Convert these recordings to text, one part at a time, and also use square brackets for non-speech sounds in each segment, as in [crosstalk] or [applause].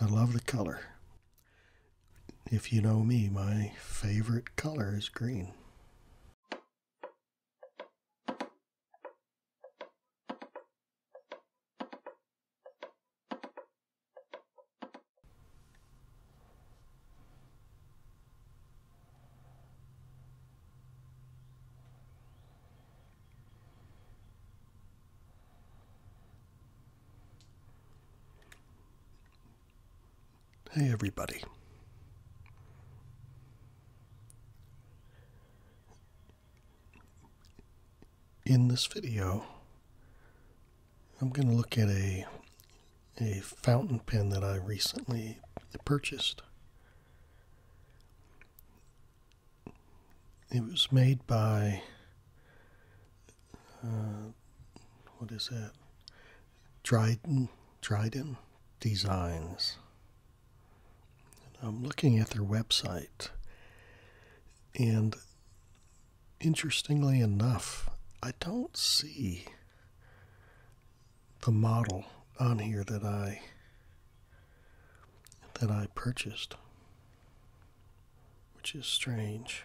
I love the color. If you know me, my favorite color is green. Hey, everybody. In this video, I'm going to look at a, a fountain pen that I recently purchased. It was made by, uh, what is that? Dryden, Dryden Designs. I'm looking at their website, and interestingly enough, I don't see the model on here that I that I purchased, which is strange.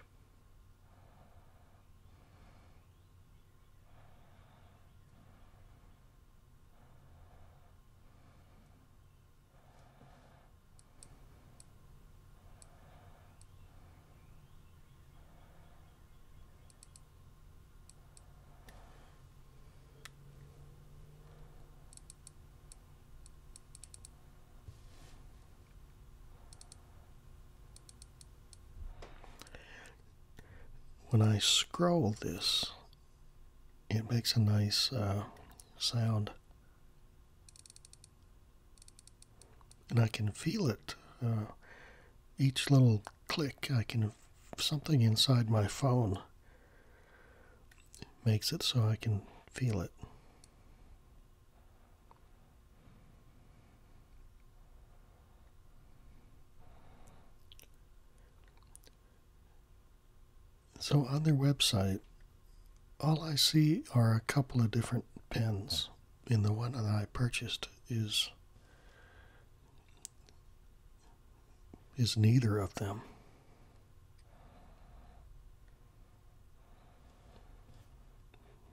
When I scroll this, it makes a nice uh, sound. And I can feel it. Uh, each little click, I can something inside my phone makes it so I can feel it. So on their website, all I see are a couple of different pens, and the one that I purchased is is neither of them.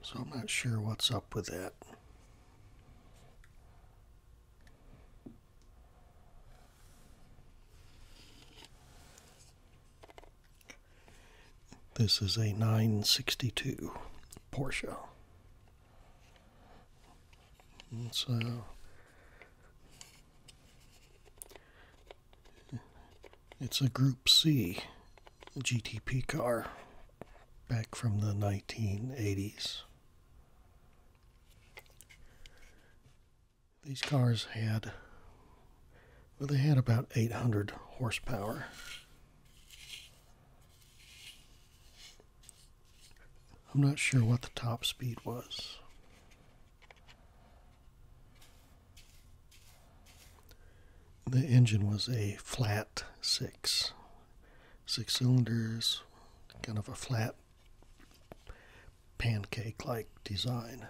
So I'm not sure what's up with that. This is a 962 Porsche. so it's a Group C GTP car back from the 1980s. These cars had, well, they had about 800 horsepower. I'm not sure what the top speed was. The engine was a flat six, six cylinders, kind of a flat pancake like design.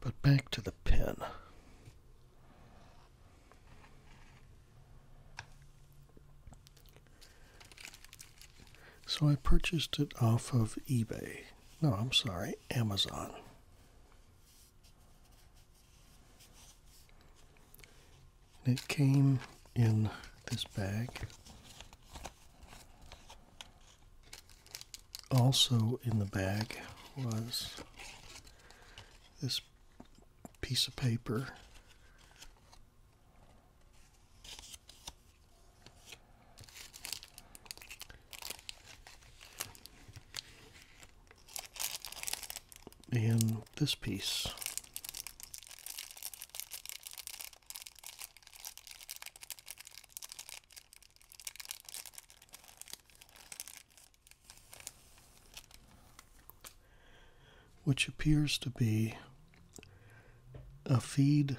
But back to the pen. So I purchased it off of eBay. No, I'm sorry, Amazon. it came in this bag. Also in the bag was this piece of paper. And this piece which appears to be a feed,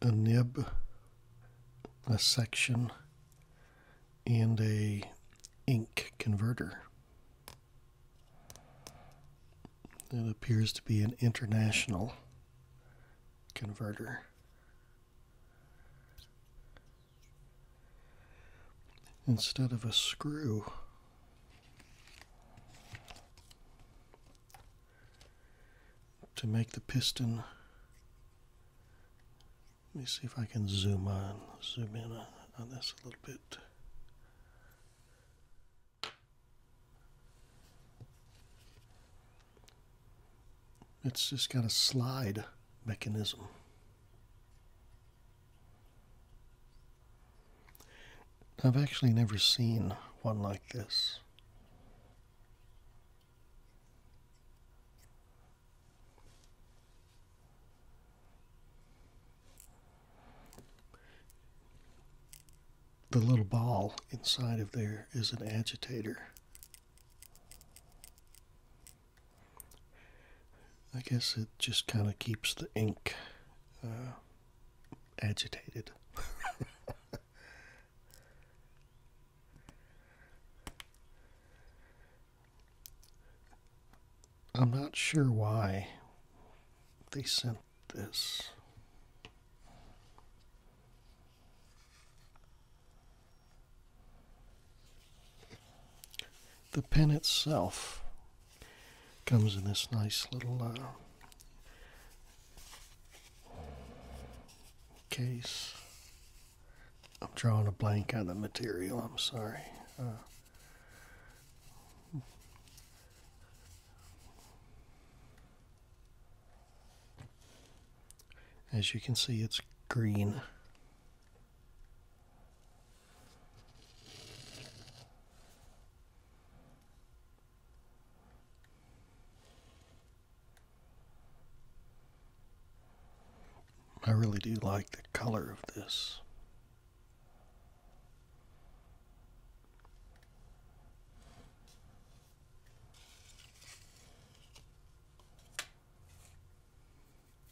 a nib, a section, and a ink converter. It appears to be an international converter. Instead of a screw, to make the piston. Let me see if I can zoom on, zoom in on, this a little bit. It's just got a slide mechanism. I've actually never seen one like this. The little ball inside of there is an agitator. I guess it just kind of keeps the ink uh, agitated. [laughs] I'm not sure why they sent this. The pen itself Comes in this nice little uh, case. I'm drawing a blank on the material, I'm sorry. Uh, as you can see, it's green. I really do like the color of this.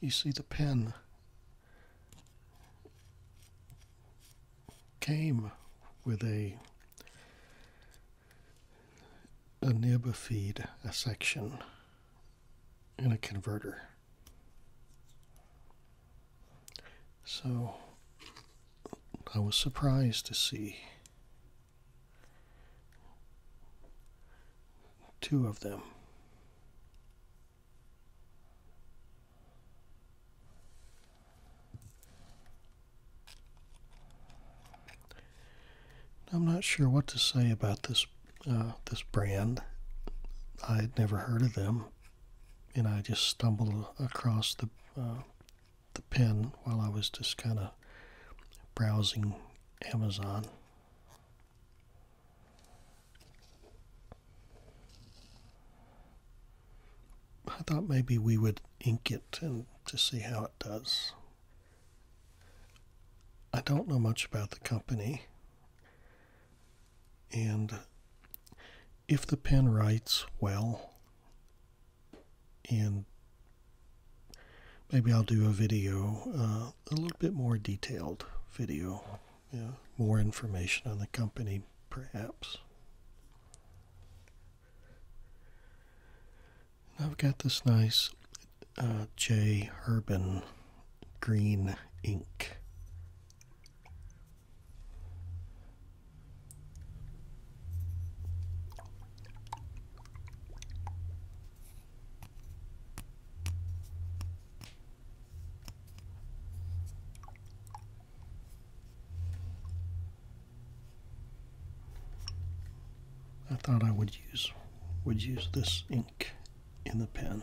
You see the pen came with a a nib, a feed, a section, and a converter. So I was surprised to see two of them. I'm not sure what to say about this uh, this brand. I had never heard of them, and I just stumbled across the uh, the pen while I was just kind of browsing Amazon. I thought maybe we would ink it and to see how it does. I don't know much about the company. And if the pen writes well, and maybe I'll do a video uh, a little bit more detailed video. more information on the company, perhaps. I've got this nice uh, J. Urban green ink. I thought I would use would use this ink in the pen.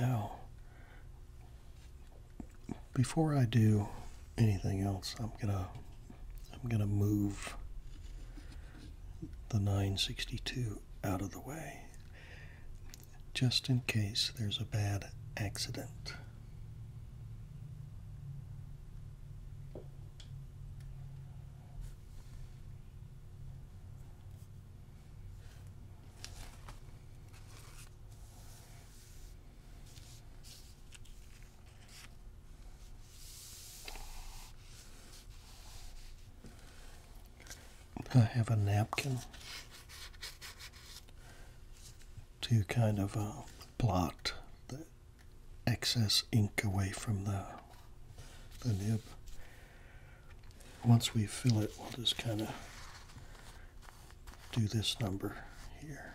Now, before I do anything else, I'm going to I'm going to move the 962 out of the way just in case there's a bad accident. I have a napkin to kind of uh, blot the excess ink away from the, the nib. Once we fill it, we'll just kind of do this number here.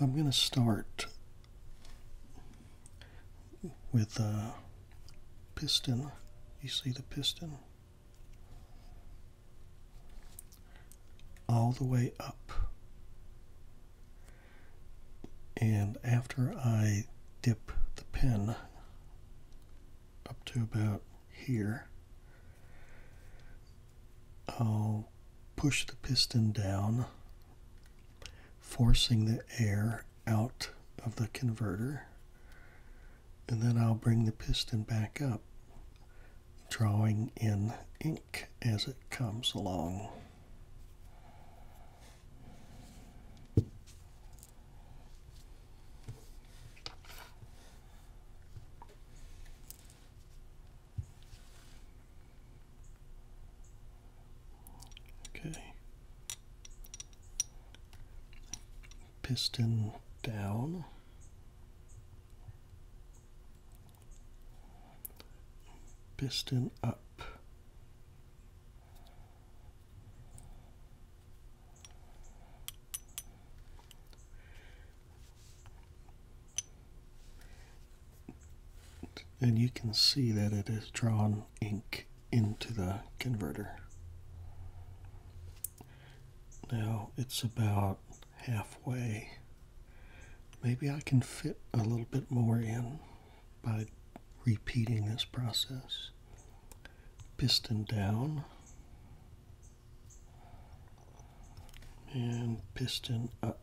I'm going to start with a uh, piston. You see the piston? All the way up. And after I dip the pen up to about here, I'll push the piston down, forcing the air out of the converter, and then I'll bring the piston back up, drawing in ink as it comes along. Okay. Piston down. Piston up. And you can see that it has drawn ink into the converter. Now it's about halfway. Maybe I can fit a little bit more in by repeating this process. Piston down and piston up.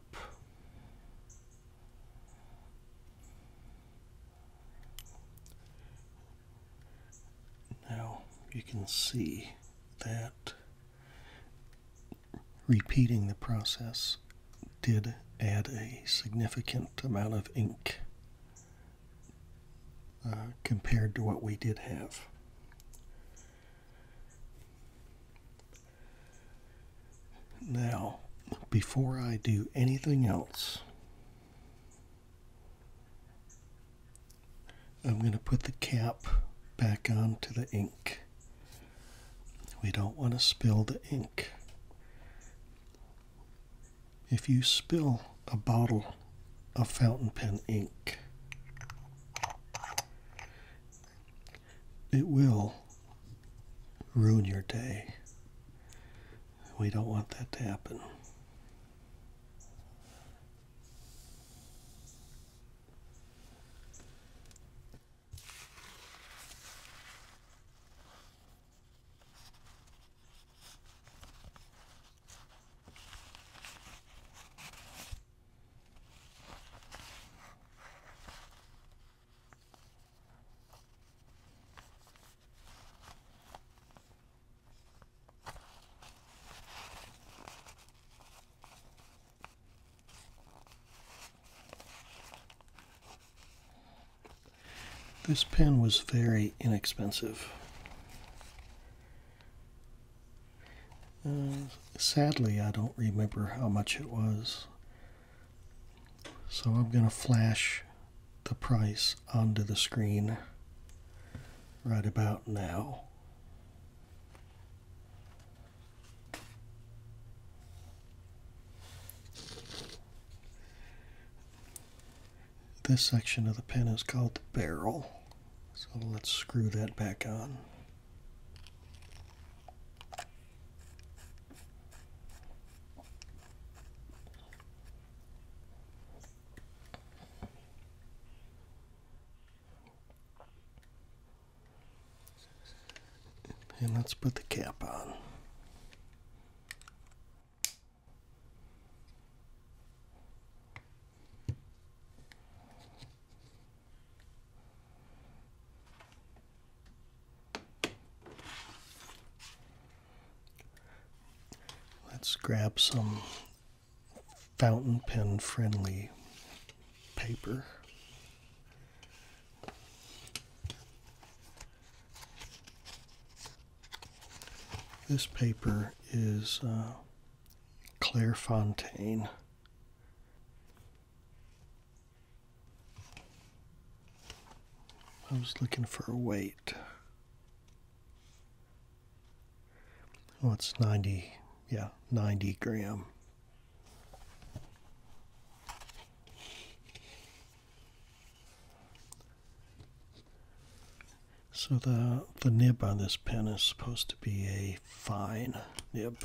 Now you can see that repeating the process did add a significant amount of ink uh, compared to what we did have. Now, before I do anything else, I'm going to put the cap back onto the ink. We don't want to spill the ink. If you spill a bottle of fountain pen ink, it will ruin your day. We don't want that to happen. This pen was very inexpensive. Uh, sadly, I don't remember how much it was. So I'm going to flash the price onto the screen right about now. This section of the pen is called the barrel. So let's screw that back on. And let's put the cap on. Let's grab some fountain pen friendly paper. This paper is uh, Clairefontaine I was looking for a weight. Oh, it's 90, yeah, 90 gram. So the, the nib on this pen is supposed to be a fine nib.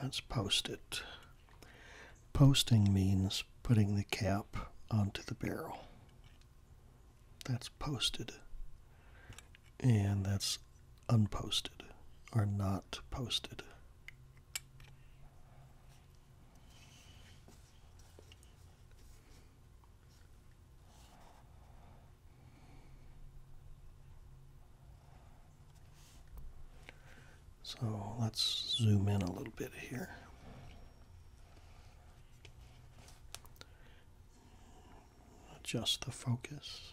Let's post it. Posting means putting the cap onto the barrel. That's posted. And that's unposted or not posted. So let's zoom in a little bit here. Adjust the focus.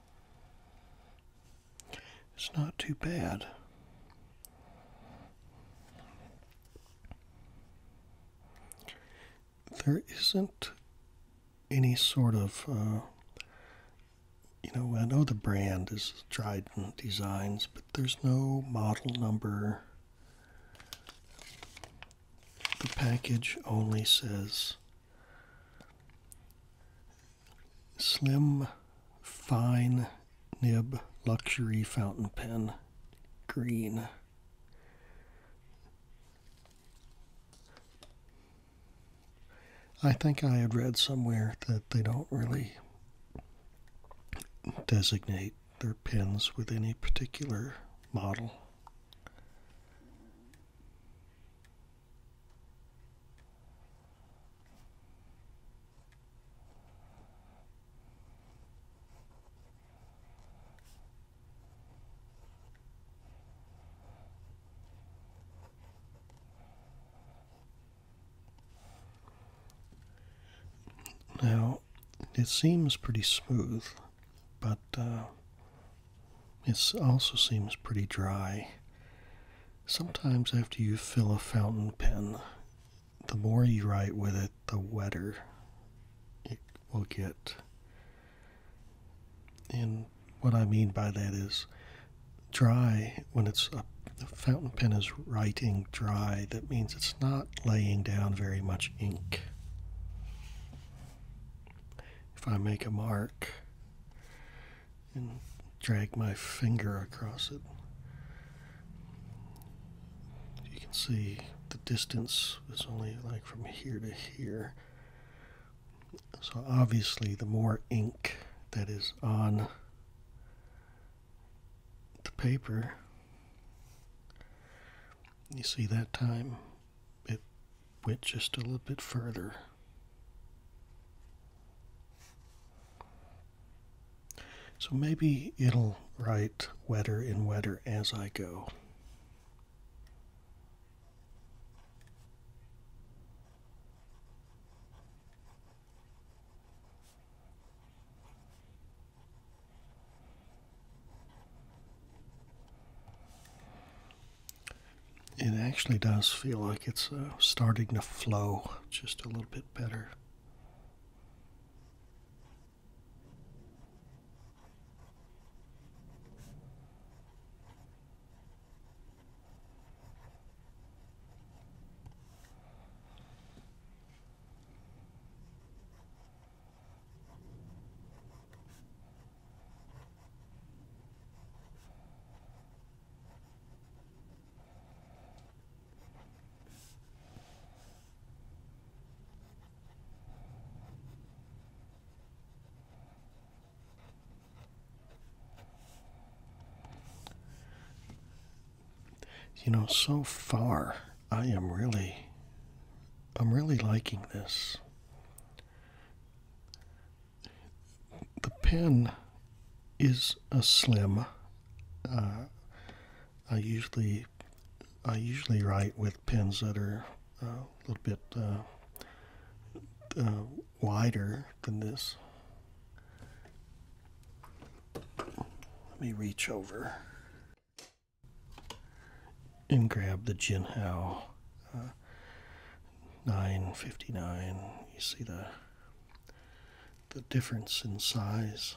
It's not too bad. There isn't any sort of, uh, you know, I know the brand is Dryden Designs, but there's no model number. The package only says Slim Fine Nib Luxury Fountain Pen Green. I think I had read somewhere that they don't really designate their pens with any particular model. Now, it seems pretty smooth, but uh, it also seems pretty dry. Sometimes, after you fill a fountain pen, the more you write with it, the wetter it will get. And what I mean by that is dry, when it's a, a fountain pen is writing dry, that means it's not laying down very much ink. If I make a mark, and drag my finger across it. You can see the distance was only like from here to here. So obviously the more ink that is on the paper, you see that time it went just a little bit further. So maybe it'll write wetter and wetter as I go it actually does feel like it's uh, starting to flow just a little bit better. You know, so far I am really I'm really liking this the pen is a slim. Uh, I usually I usually write with pens that are uh, a little bit uh, wider than this. Let me reach over and grab the Jinhao 959 you see the the difference in size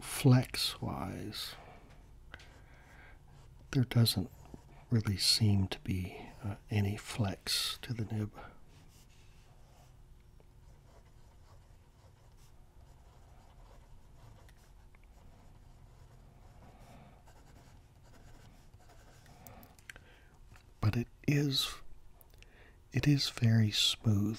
flex wise, there doesn't really seem to be uh, any flex to the nib. But it is it is very smooth.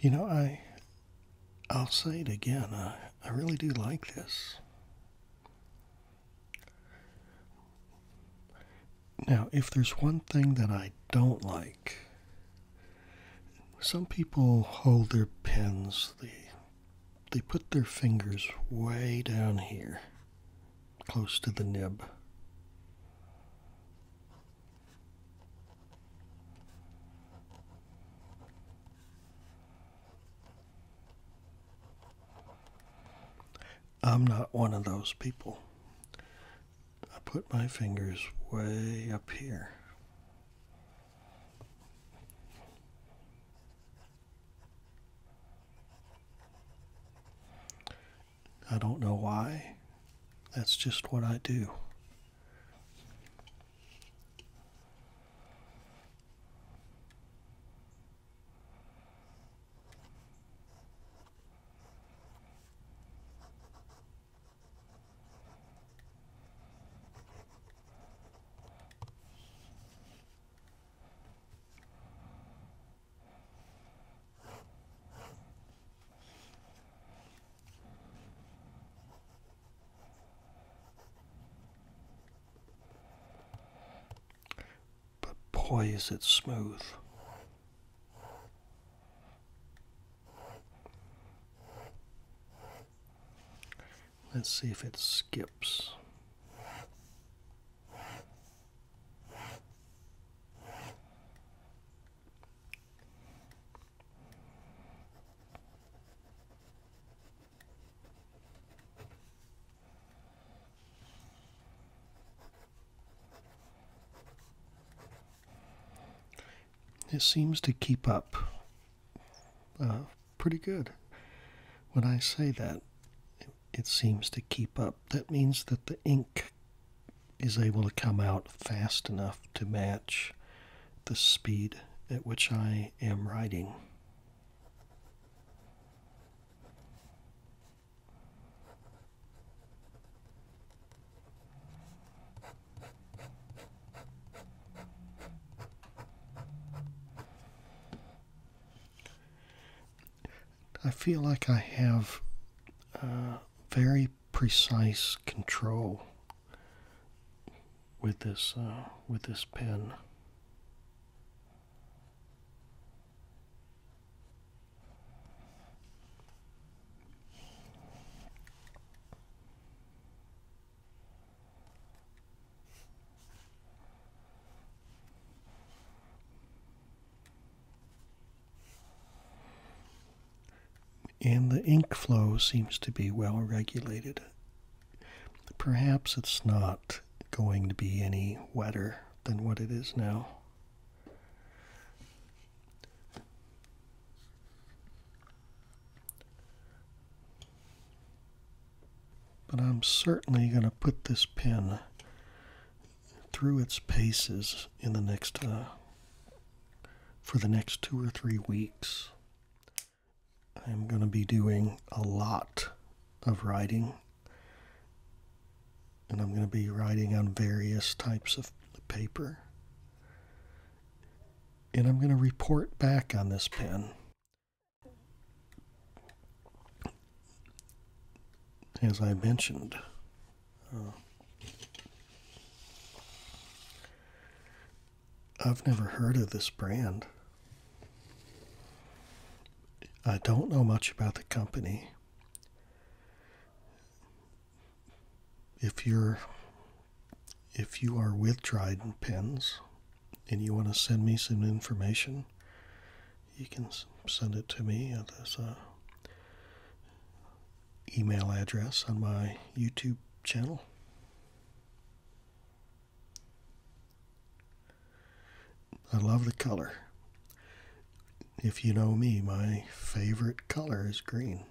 You know, I I'll say it again. I, I really do like this. Now, if there's one thing that I don't like some people hold their pens they they put their fingers way down here close to the nib I'm not one of those people. I put my fingers way up here. I don't know why. That's just what I do. But boy, is it smooth. Let's see if it skips. It seems to keep up uh, pretty good. When I say that, it seems to keep up. That means that the ink is able to come out fast enough to match the speed at which I am writing. I feel like I have uh, very precise control with this uh, with this pen. And the ink flow seems to be well regulated. Perhaps it's not going to be any wetter than what it is now. But I'm certainly going to put this pen through its paces in the next uh, for the next two or three weeks. I'm going to be doing a lot of writing, and I'm going to be writing on various types of paper and I'm going to report back on this pen. As I mentioned, uh, I've never heard of this brand. I don't know much about the company if you're if you are with Dryden pens and you want to send me some information, you can send it to me at this uh, email address on my YouTube channel. I love the color if you know me, my favorite color is green.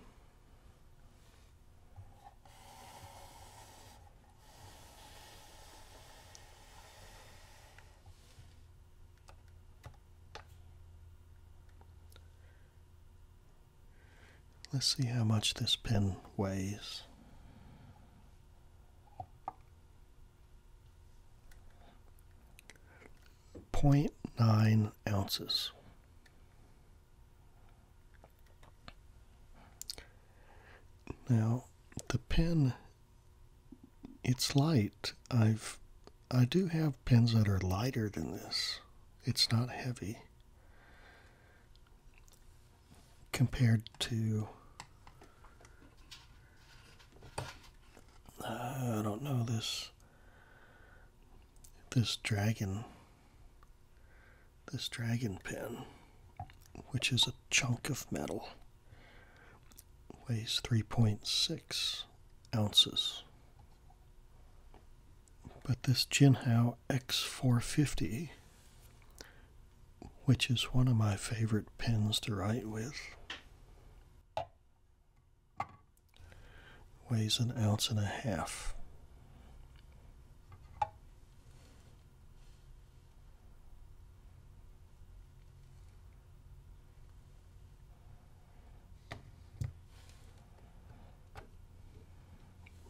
Let's see how much this pin weighs. 0.9 ounces. Now, the pen, it's light. I've, I do have pens that are lighter than this. It's not heavy compared to, I don't know, this this dragon this dragon pen, which is a chunk of metal weighs 3.6 ounces but this Jinhao X450 which is one of my favorite pens to write with weighs an ounce and a half.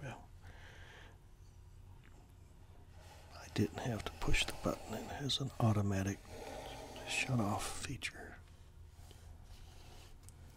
Well, I didn't have to push the button, it has an automatic shut off feature.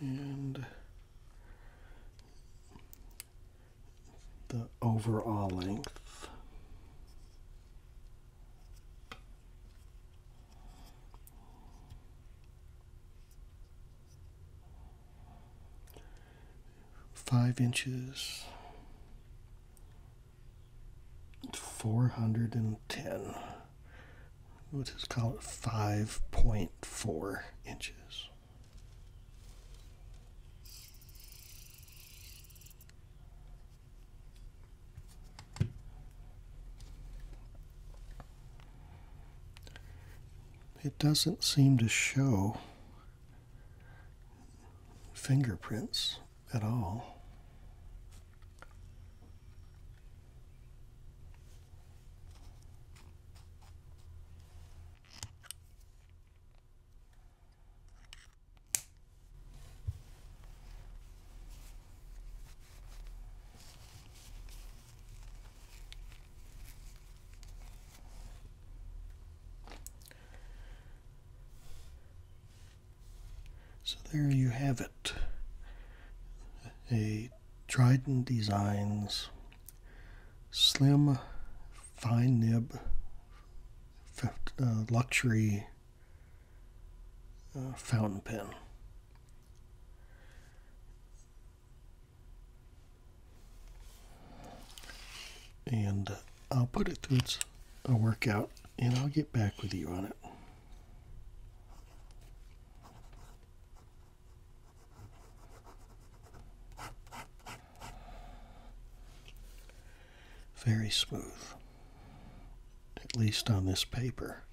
and the overall length five inches 410, hundred and ten. Let's just call it 5.4 inches. It doesn't seem to show fingerprints at all. So there you have it. A Trident Designs slim fine nib uh, luxury uh, fountain pen. And uh, I'll put it through its a workout and I'll get back with you on it. Very smooth, at least on this paper.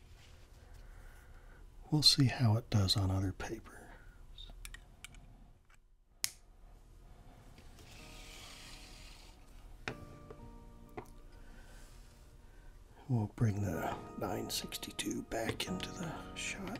We'll see how it does on other papers. We'll bring the 962 back into the shot.